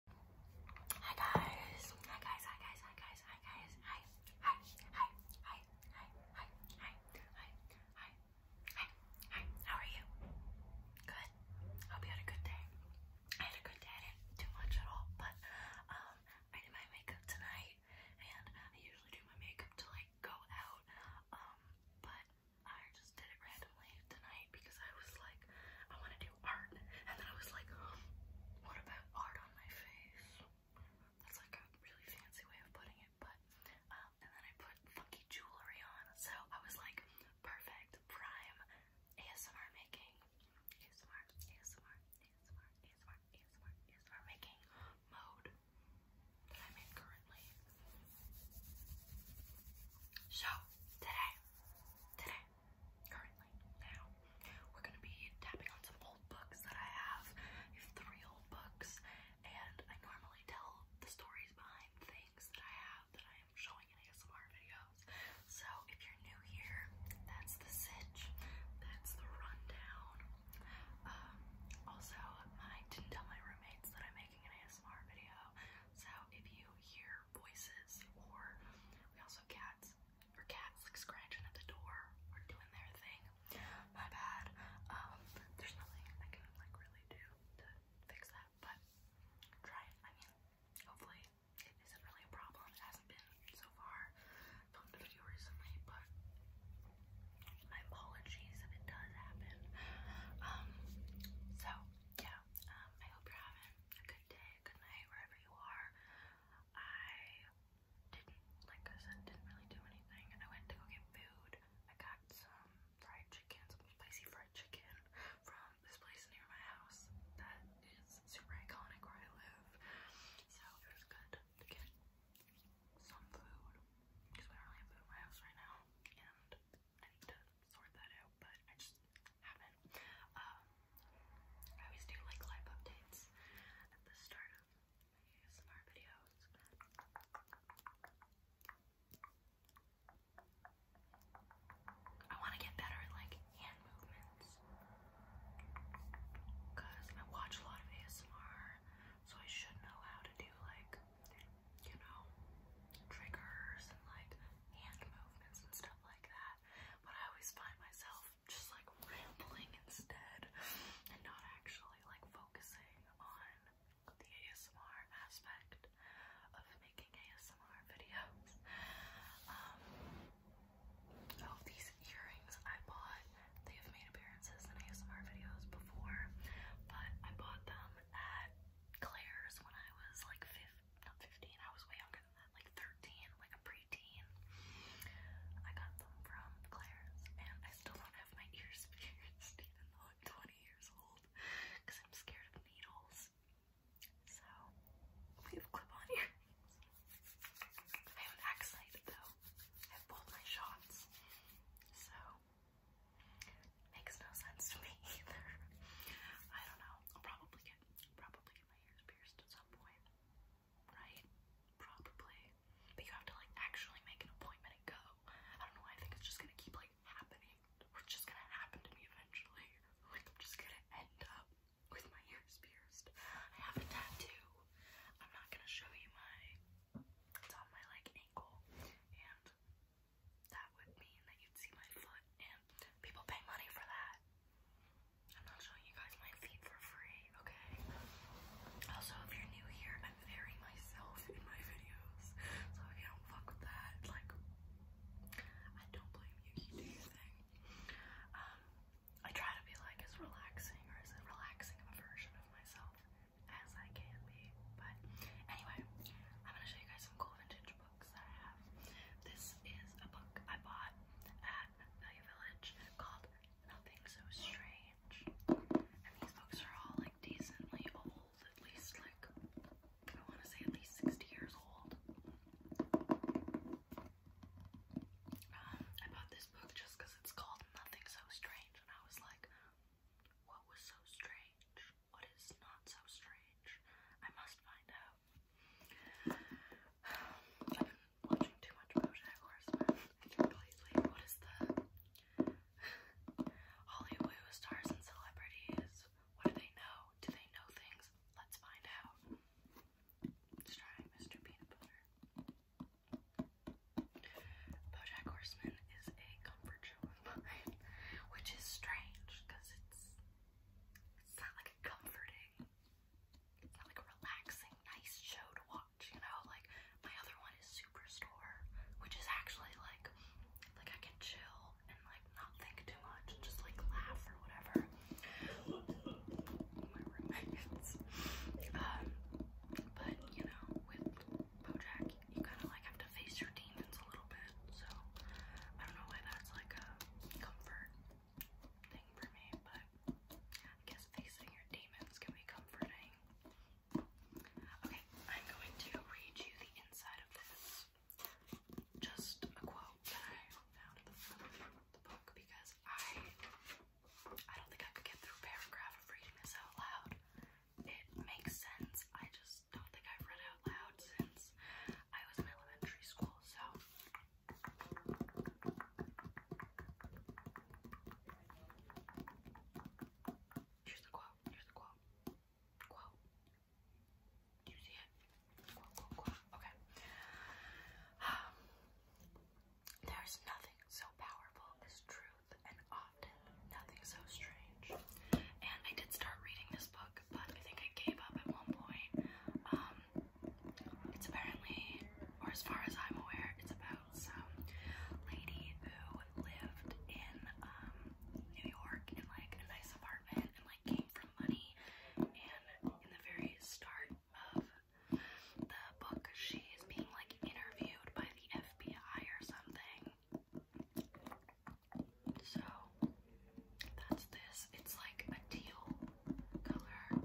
Hi guys. Hi guys. Hi guys. Hi guys. Hi guys. Hi. Hi. Hi. Hi. Hi. Hi. Hi. Hi. Hi. How are you? Good. Hope you had a good day. I had a good day. I much at all, but um I did my makeup tonight and I usually do my makeup to like go out. Um but I just did it randomly tonight because I was like, I want to do art. And then I was like, oh, what about art on my face? That's like a really fancy way of putting it, but, um, and then I put funky jewelry on. So I was like, perfect, prime, ASMR making, ASMR, ASMR, ASMR, ASMR, ASMR making mode that I'm in currently. So, today, today, currently now. We're gonna be tapping on some old books that I have. I have three old books, and I normally tell the stories behind things that I have that I am showing in ASMR videos. So if you're new here, that's the sitch, that's the rundown. Um, also, I didn't tell my roommates that I'm making an ASMR video, so if you hear voices, or we also have cats or cats like scratching at the door or doing their thing. My bad. Um, there's nothing I can like really do to fix that, but try it. I mean, hopefully it isn't really a problem. It hasn't been so far. Filmed a video recently, but my apologies if it does happen. Um, so yeah. Um, I hope you're having a good day, good night, wherever you are. I didn't, like I said, didn't really do anything. And I went to go get food. I got some fried chicken, some spicy fried chicken from this place near my house that is super iconic where I live. So it was good to get some food because we don't have food in my house right now. And I need to sort that out, but I just haven't. Um, I always do like live updates at the start of ASMR videos. I want to get better at like hand movements because I watch a lot of ASMR, so I should know how to do like, you know, triggers and like hand movements and stuff like that. But I always find myself just like rambling instead and not actually like focusing on the ASMR aspect of making ASMR videos. Um, these earrings I bought, they have made appearances in ASMR videos before, but I bought them at Claire's when I was like 15 not 15, I was way younger than that, like 13, like a preteen. I got them from Claire's, and I still don't have my ears pierced, even though I'm 20 years old, because I'm scared of needles. So, we have clip-on earrings. I have an axe though. I have both my shots. So, makes no sense to me either. I don't know. I'll probably get probably get my ears pierced at some point. Right? Probably. But you have to like actually make an appointment and go. I don't know I think it's just gonna keep like happening. it's just gonna happen to me eventually. Like I'm just gonna end up with my ears pierced. I have a tattoo. I'm not gonna show you my it's on my like ankle and that would mean that you'd see my foot, and people pay money for that. I'm not showing you guys my feet for free, okay? Also, if you're new here, I'm very myself in my videos, so if you don't fuck with that, like, I don't blame you. You do your thing. Um, I try to be like as relaxing or as relaxing a version of myself as I can be. But anyway, I'm gonna show you guys some cool vintage books that I have. This is a book I bought at Value Village called Nothing So Strange. And these books are all like decently old, at least like I want to say at least 60 years old. Um, I bought this book just because it's called Nothing So Strange, and I was like, what was so strange? What is not so strange? I must find out. I've been watching too much BoJack Horseman. Completely. What is the Hollywood stars and celebrities? What do they know? Do they know things? Let's find out. Let's try Mr. Peanut Butter. BoJack Horseman is a comfort show of mine, which is strange because it's it's not like a comforting, like relaxing, nice show to watch. You know, like my other one is Superstore, which is actually like like I can chill and like not think too much, and just like laugh or whatever. my roommates. Um, but you know, with BoJack, you kind of like have to face your demons a little bit. So I don't know why that's like a comfort thing for me, but I guess facing your demons can be comforting. Okay, I'm going to read you the inside of this. Just a quote that I found at the book because I I don't think I could get through a paragraph of reading this out loud. It makes sense. I just don't think I've read out loud since I was in elementary school, so here's the quote. Here's the quote. Quote. Do you see it? Quote, quote, quote. Okay. Um, there's nothing so powerful as true truth, and often nothing so strange. And I did start reading this book, but I think I gave up at one point. Um, it's apparently, or as far as I'm aware, it's about some lady who lived in um, New York in like a nice apartment and like came from money. And in the very start of the book, she is being like interviewed by the FBI or something, so that's this. It's like a teal color.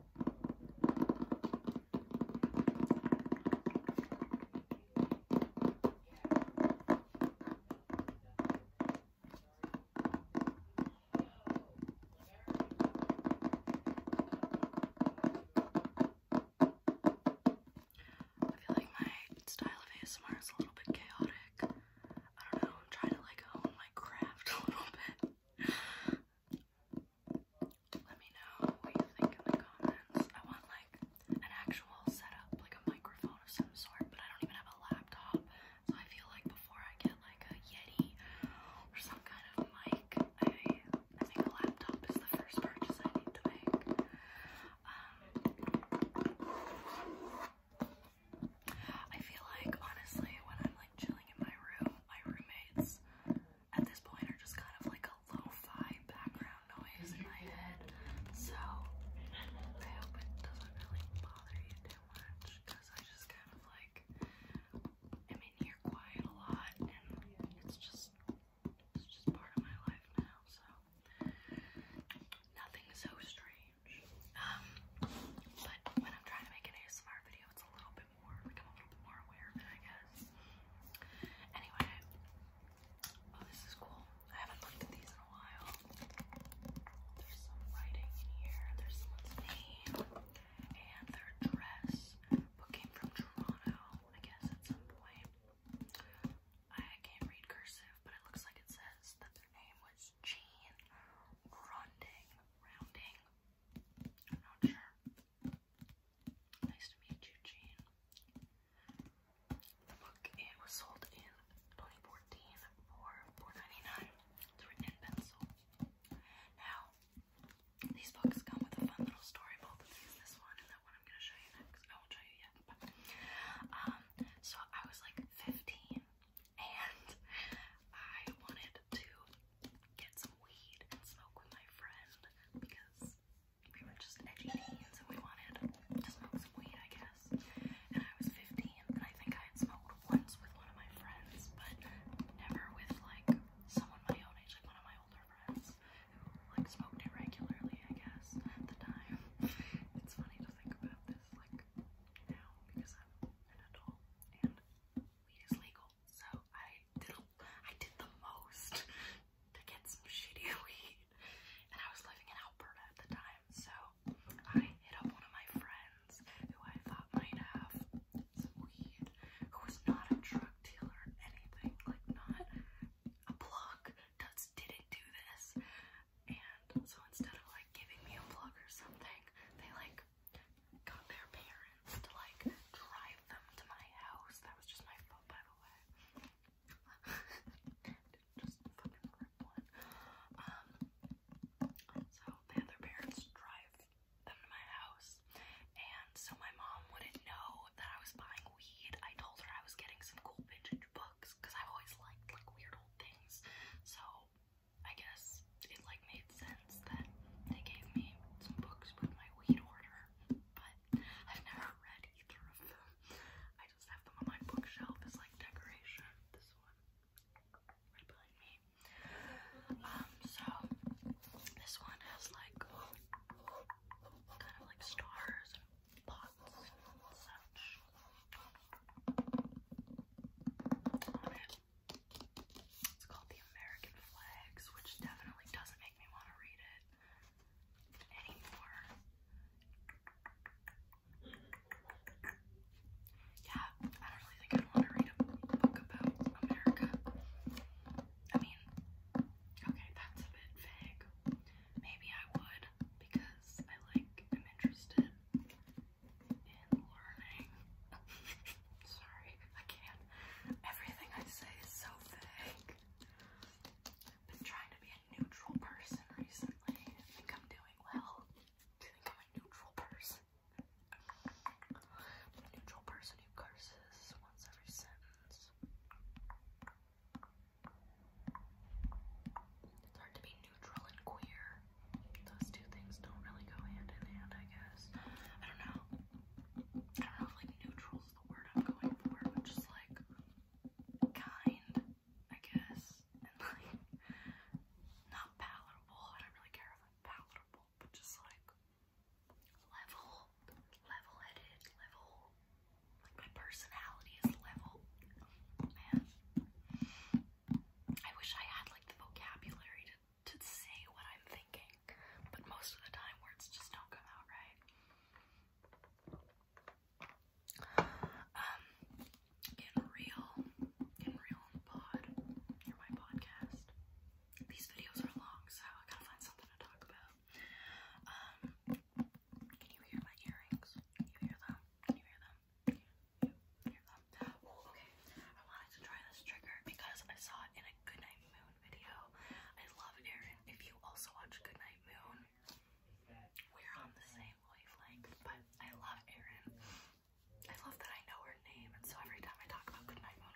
I feel like my style of ASMR is a little bit chaotic. I don't know, I'm trying to like own my craft a little bit. Let me know what you think in the comments. I want like an actual setup, like a microphone of some sort, but I don't even have a laptop. So I feel like before I get like a Yeti or some kind of mic, I I think a laptop is the first purchase I need to make. I feel like honestly when I'm like chilling in my room, my roommates at this point are just kind of like a lo-fi background noise in my head. So I hope it doesn't really bother you too much because I just kind of like am in here quiet a lot and it's just it's just part of my life now, so nothing so strange. Um, but when I'm trying to make an ASMR video, it's a little bit more like i a little bit more aware I guess. Anyway, oh, this is cool. I haven't looked at these in a while. There's some writing in here. There's someone's name and their address. Book came from Toronto, I guess, at some point. I can't read cursive, but it looks like it says that their name was Jean Ronding. Rounding. I'm not sure. Nice to meet you, Jean. The book it was sold in 2014 for $4.99. It's written in pencil. Now, these books come with a fun little story book. This one and that one I'm gonna show you next. I won't show you yet, but um, so I was like 15 and I wanted to get some weed and smoke with my friend because we were just edgy teens and we wanted to smoke some weed, I guess. And I was 15 and I think I had smoked once with one of my friends, but never with like someone my own age, like one of my smoked it regularly, I guess, at the time. It's funny to think about this like now because I'm an adult and weed is legal. So I did a, I did the most to get some shitty weed. And I was living in Alberta at the time, so I hit up one of my friends who I thought might have weed, who was not a drug dealer or anything, like not a plug does didn't do this. And so instead of like giving me a plug or something, they like got their parents to like drive them to my house. That was just my fault, by the way. just fucking rip one. Um, so they had their parents drive them to my house, and so my mom wouldn't know that I was buying weed. I told her I was getting some cool vintage books because i always liked like weird old things. So I guess it like made sense that they gave me some books with my weed order. But I've never read either of them. I just have them on my bookshelf as like decoration. This one right behind me. Um, so this one has like kind of like stars and pots and such It's called the American Flags, which definitely doesn't make me want to read it anymore. Yeah, I don't really think i want to read a book about America. I mean, Okay, that's a bit vague. Maybe I would because I like am interested in learning. Sorry, I can't. Everything I say is so vague. I've been trying to be a neutral person recently. I think I'm doing well. I think I'm a neutral person. a neutral person who curses once every sentence. It's hard to be neutral and queer. Those two things don't really go hand in hand, I guess. I don't know. I don't know if like neutral is the word I'm going for, but just like kind, I guess. And like not palatable. I don't really care if I'm palatable, but just like level, level-headed, level. Like my personality is level. Man, I wish I had like the vocabulary to to say what I'm thinking, but most of the time words just don't come out right. Um, in real, in real pod, or my podcast. These videos are long, so I gotta find something to talk about can you hear my earrings? you hear them? Can you hear them? okay. I wanted to try this trigger because I saw it in a Goodnight Moon video. I love Erin. If you also watch Goodnight Moon, we're on the same wavelength, but I love Erin. I love that I know her name, and so every time I talk about Goodnight Moon,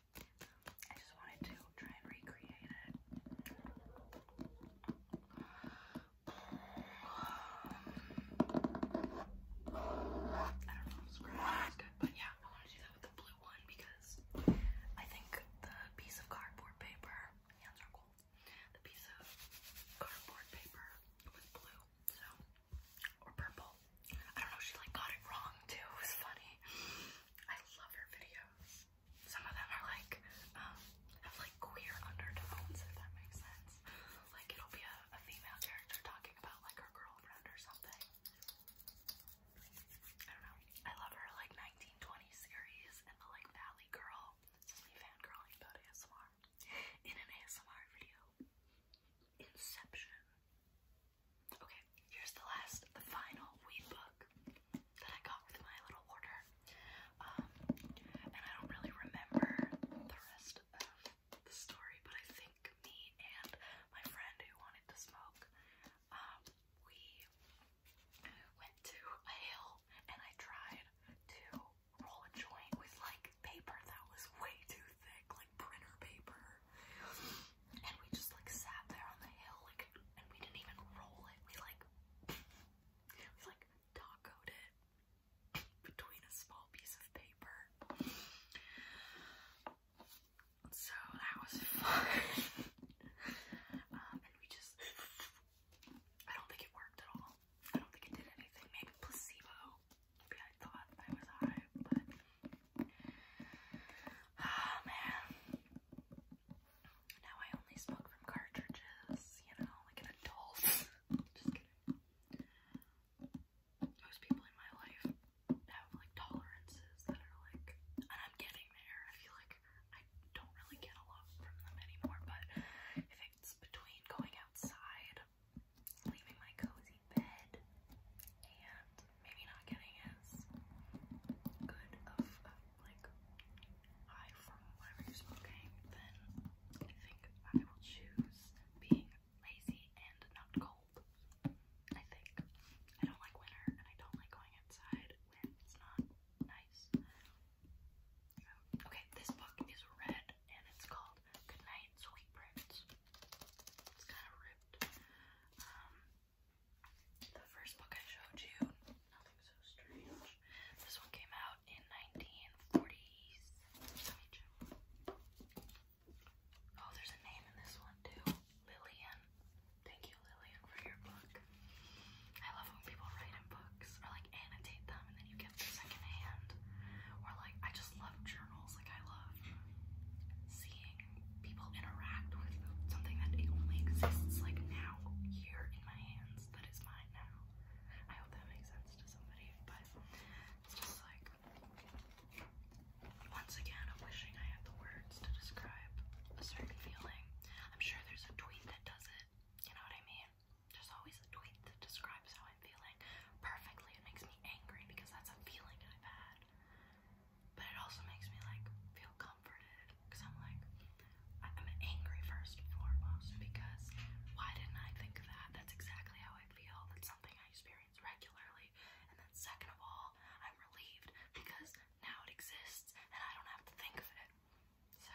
I just wanted to try and recreate it. I don't know if it's good, but yeah, I want to do that with the blue one because I think the piece of cardboard paper, hands are cold, the piece of cardboard paper was blue, so, or purple. I don't know, she like got it wrong too, it was funny. I love her videos. Some of them are like, um, have like queer undertones, if that makes sense. Like it'll be a, a female character talking about like her girlfriend or something. I don't know. I love her like 1920 series and the like Valley Girl. It's just me fangirling about ASMR. In an ASMR video. Inception. Okay, here's the last, the final weed book that I got with my little order. Um, and I don't really remember the rest of the story, but I think me and my friend who wanted to smoke, um, we went to a hill and I tried to roll a joint with like paper that was way too thick, like printer paper and we just like sat there on the hill, like, and we didn't even roll it. We like, we like tacoed it between a small piece of paper. So that was fun. Um, and we just, I don't think it worked at all. I don't think it did anything. Maybe placebo. Maybe I thought I was high, but Oh man. Now I only smoke from cartridges, you know, like an adult. Just kidding. Most people in my life have like tolerances that are like, and I'm getting there. I feel like I don't really get a lot from them anymore, but if it's between going outside, leaving my cozy and maybe not getting as good of, like high from whatever smoking, then I think I will choose being lazy and not cold. I think. I don't like winter and I don't like going outside when it's not nice. Okay, this book is red and it's called Goodnight Sweet Prince. It's kind of ripped. Um, the first book I showed you, nothing so strange. This one came out in 1942. Oh, there's a name in this one too, Lillian. Thank you, Lillian, for your book. I love when people write in books or like annotate them, and then you get them secondhand. Or like, I just love journals. Like I love seeing people interact with something that only exists like now here in my hands that is mine now. I hope that makes sense to somebody, but it's just like once again I'm wishing I had the words to describe a certain feeling. I'm sure there's a tweet that does it. You know what I mean? There's always a tweet that describes how I'm feeling perfectly. It makes me angry because that's a feeling I've had but it also makes me like feel comforted because I'm like, I'm angry first and foremost because why didn't I think of that? That's exactly how I feel. That's something I experience regularly. And then, second of all, I'm relieved because now it exists and I don't have to think of it. So,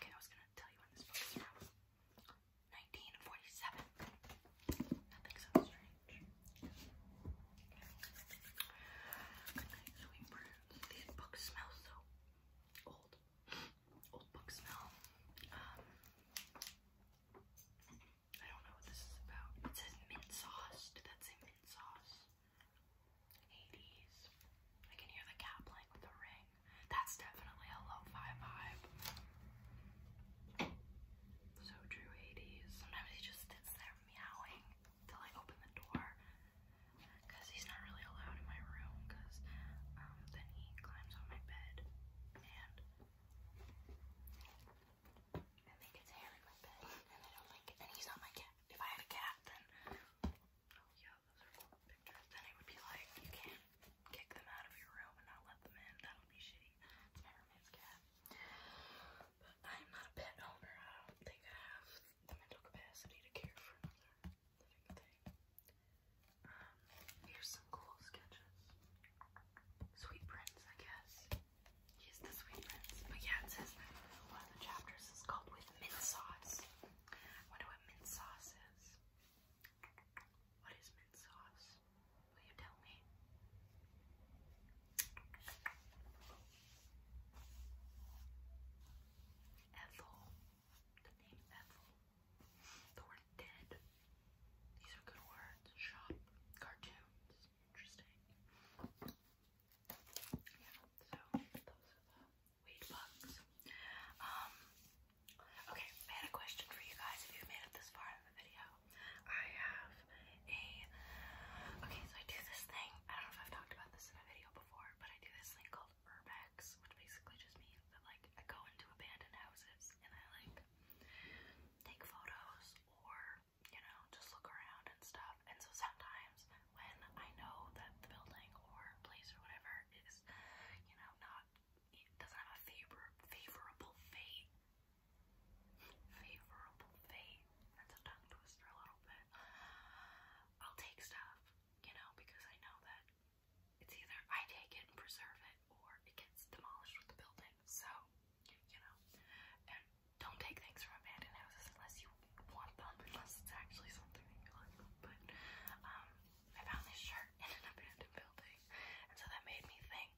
okay, I was gonna tell you when this book is from. 1947. Nothing so strange. Good night, sweet birds. These books smell so old. Old book smell. Um, I don't know what this is about. It says mint sauce. Did that say mint sauce? 80s. I can hear the cat playing with the ring. That's definitely a lo-fi vibe. So Drew Hades, sometimes he just sits there meowing until I open the door because he's not really allowed in my room because um, then he climbs on my bed and and they gets hair in my bed and I don't like it and he's not my cat. If I had a cat then, oh yeah, those are cool pictures, then it would be like, you can't kick them out of your room and not let them in. That will be shitty. It's my roommate's cat. But I'm not a pet owner. I do have the mental capacity to care for another um, here's some cool sketches. Sweet Prince, I guess. He's the Sweet Prince. But yeah, it says one of the chapters is called With Mint Sauce. I wonder what mint sauce is. What is mint sauce? Will you tell me? Ethel. The name Ethel. The word dead. These are good words. Shop. Cartoons. Interesting. Yeah, so those are the weed bugs. Um, Okay, I had a question for you guys if you've made it this far in the video. I have a okay, so I do this thing. I don't know if I've talked about this in a video before, but I do this thing called urbex, which basically just means that like I go into abandoned houses and I like take photos or you know, just look around and stuff. And so sometimes when I know that the building or place or whatever is, you know, not it doesn't have a favor favorable fate. Favorable fate. That's a tongue twister a little bit. I'll take stuff, you know, because I know that it's either I take it and preserve it or it gets demolished with the building. So, you know, and don't take things from abandoned houses unless you want them, unless it's actually something that you like. But, um, I found this shirt in an abandoned building, and so that made me think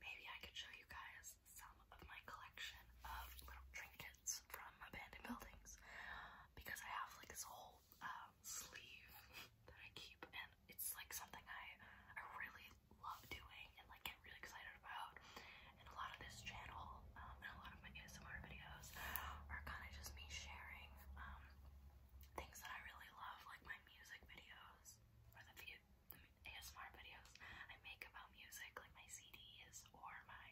maybe I could show you guys some of my collection of little trinkets from abandoned buildings because I have like this whole um, sleeve that I keep, and it's like something I I really love doing and like get really excited about. And a lot of this channel um, and a lot of my ASMR videos are kind of just me sharing. Um, Things that I really love, like my my music videos or the, video, the ASMR videos I make about music, like my CDs or my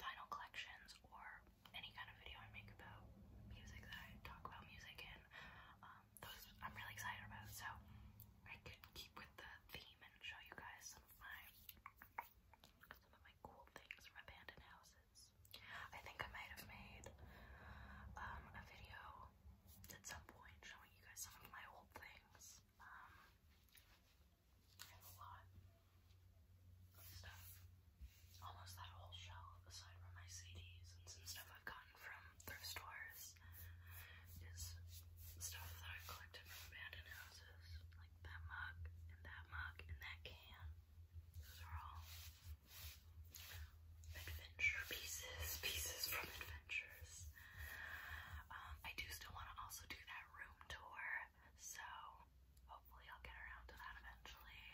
vinyl collections or any kind of video I make about music that I talk about music in, um, those I'm really excited about. So I could keep with the theme and show you guys some of my some of my cool things from abandoned houses. I think I might have made um, a video at some point showing you guys some of my old things. Um, I have a lot of stuff. Almost that whole shelf, aside from my CDs and some stuff I've gotten from thrift stores, is stuff that I've collected from abandoned houses. Like that mug, and that mug, and that can. Those are all adventure pieces, pieces from adventures. Um, I do still want to also do that room tour, so hopefully I'll get around to that eventually.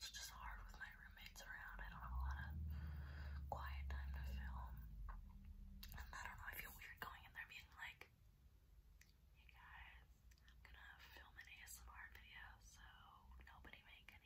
It's just hard with my roommates around. I don't have a lot of quiet time to film. I don't know, I feel weird going in there being like, hey guys, I'm gonna film an ASMR video, so nobody make any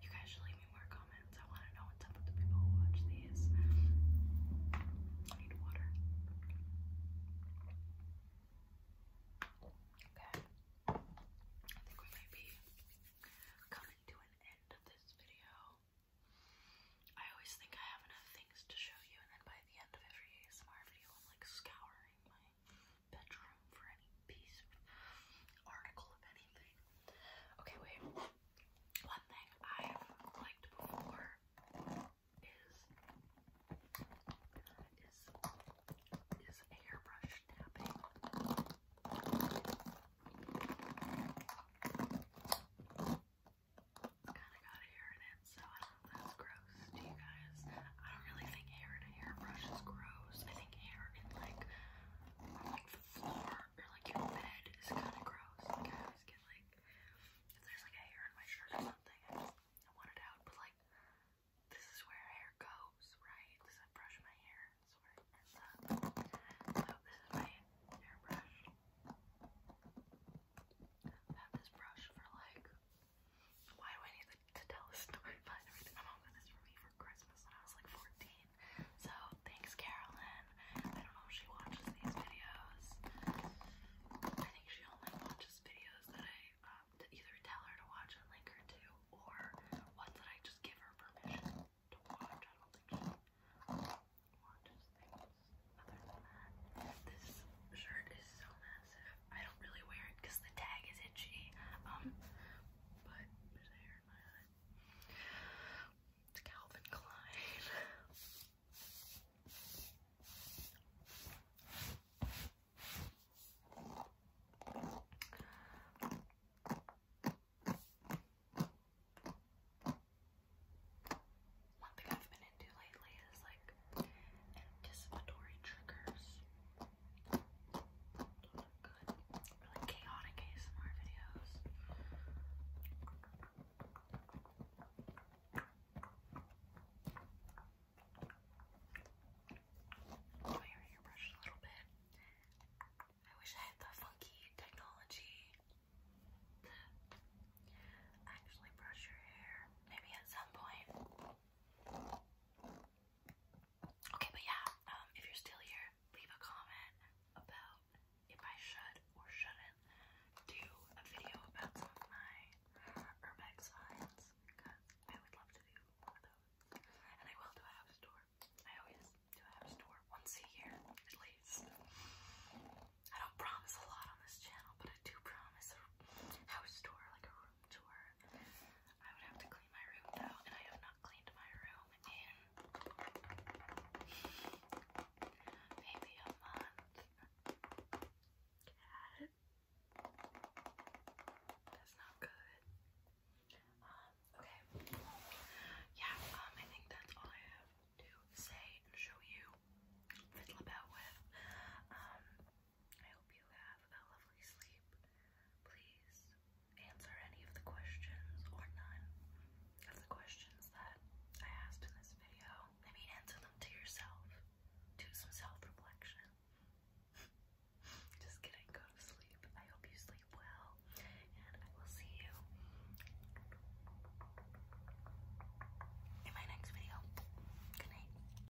You guys should leave me more comments. I want to know what's up with the people who watch these. I need water. Okay. I think we might be coming to an end of this video. I always think I have enough things to show you, and then by the end of every ASMR video, I'm like scouring my bedroom for any piece article of anything. Okay, wait. One thing I've liked before is is is hairbrush tapping. Kinda got hair it, so that's gross to you guys. I don't really think hair in a hairbrush is gross. I think hair in like like the floor or like your bed is kind of gross. Like I always get like if there's like a hair in my shirt or something, I want it out. But like this is where hair goes, right? I brush my hair. So this is my hairbrush. have this brush for like why do I need to, tell a story My mom got this for me for Christmas when I was like 14. So thanks, Carolyn. I don't know if she watches these videos. I think she only watches videos that I um, either tell her to watch and link her to, or ones that I just give her permission to watch. I don't think she watches things other than that. This shirt is so nice. I don't really wear it because the tag is itchy. Um, but there's hair in my eye. It's Calvin Klein. One thing I've been into lately is like anticipatory triggers really chaotic ASMR videos. Do your hairbrush a little bit. I wish I had the funky technology to actually brush your hair. Maybe at some point. Okay, but yeah, um, if you're still here, leave a comment about if I should or shouldn't do a video about some of my Urbex finds because I would love to do one of those. And I will do a house tour. I always do a house tour once a year at least. I don't promise a lot on this channel, but I do promise a house tour, like a room tour. I would have to clean my room though, and I have not cleaned my room in maybe a month. Cat. That's not good. Um, okay. Yeah, um, I think that's all I have to say and show you, fiddle about with. Um, I hope you have a lovely sleep. Please answer any of the questions or none of the questions that I asked in this video. Maybe answer them to yourself. Do some self-reflection. Just kidding, go to sleep. I hope you sleep well, and I will see you in my next video. Good night.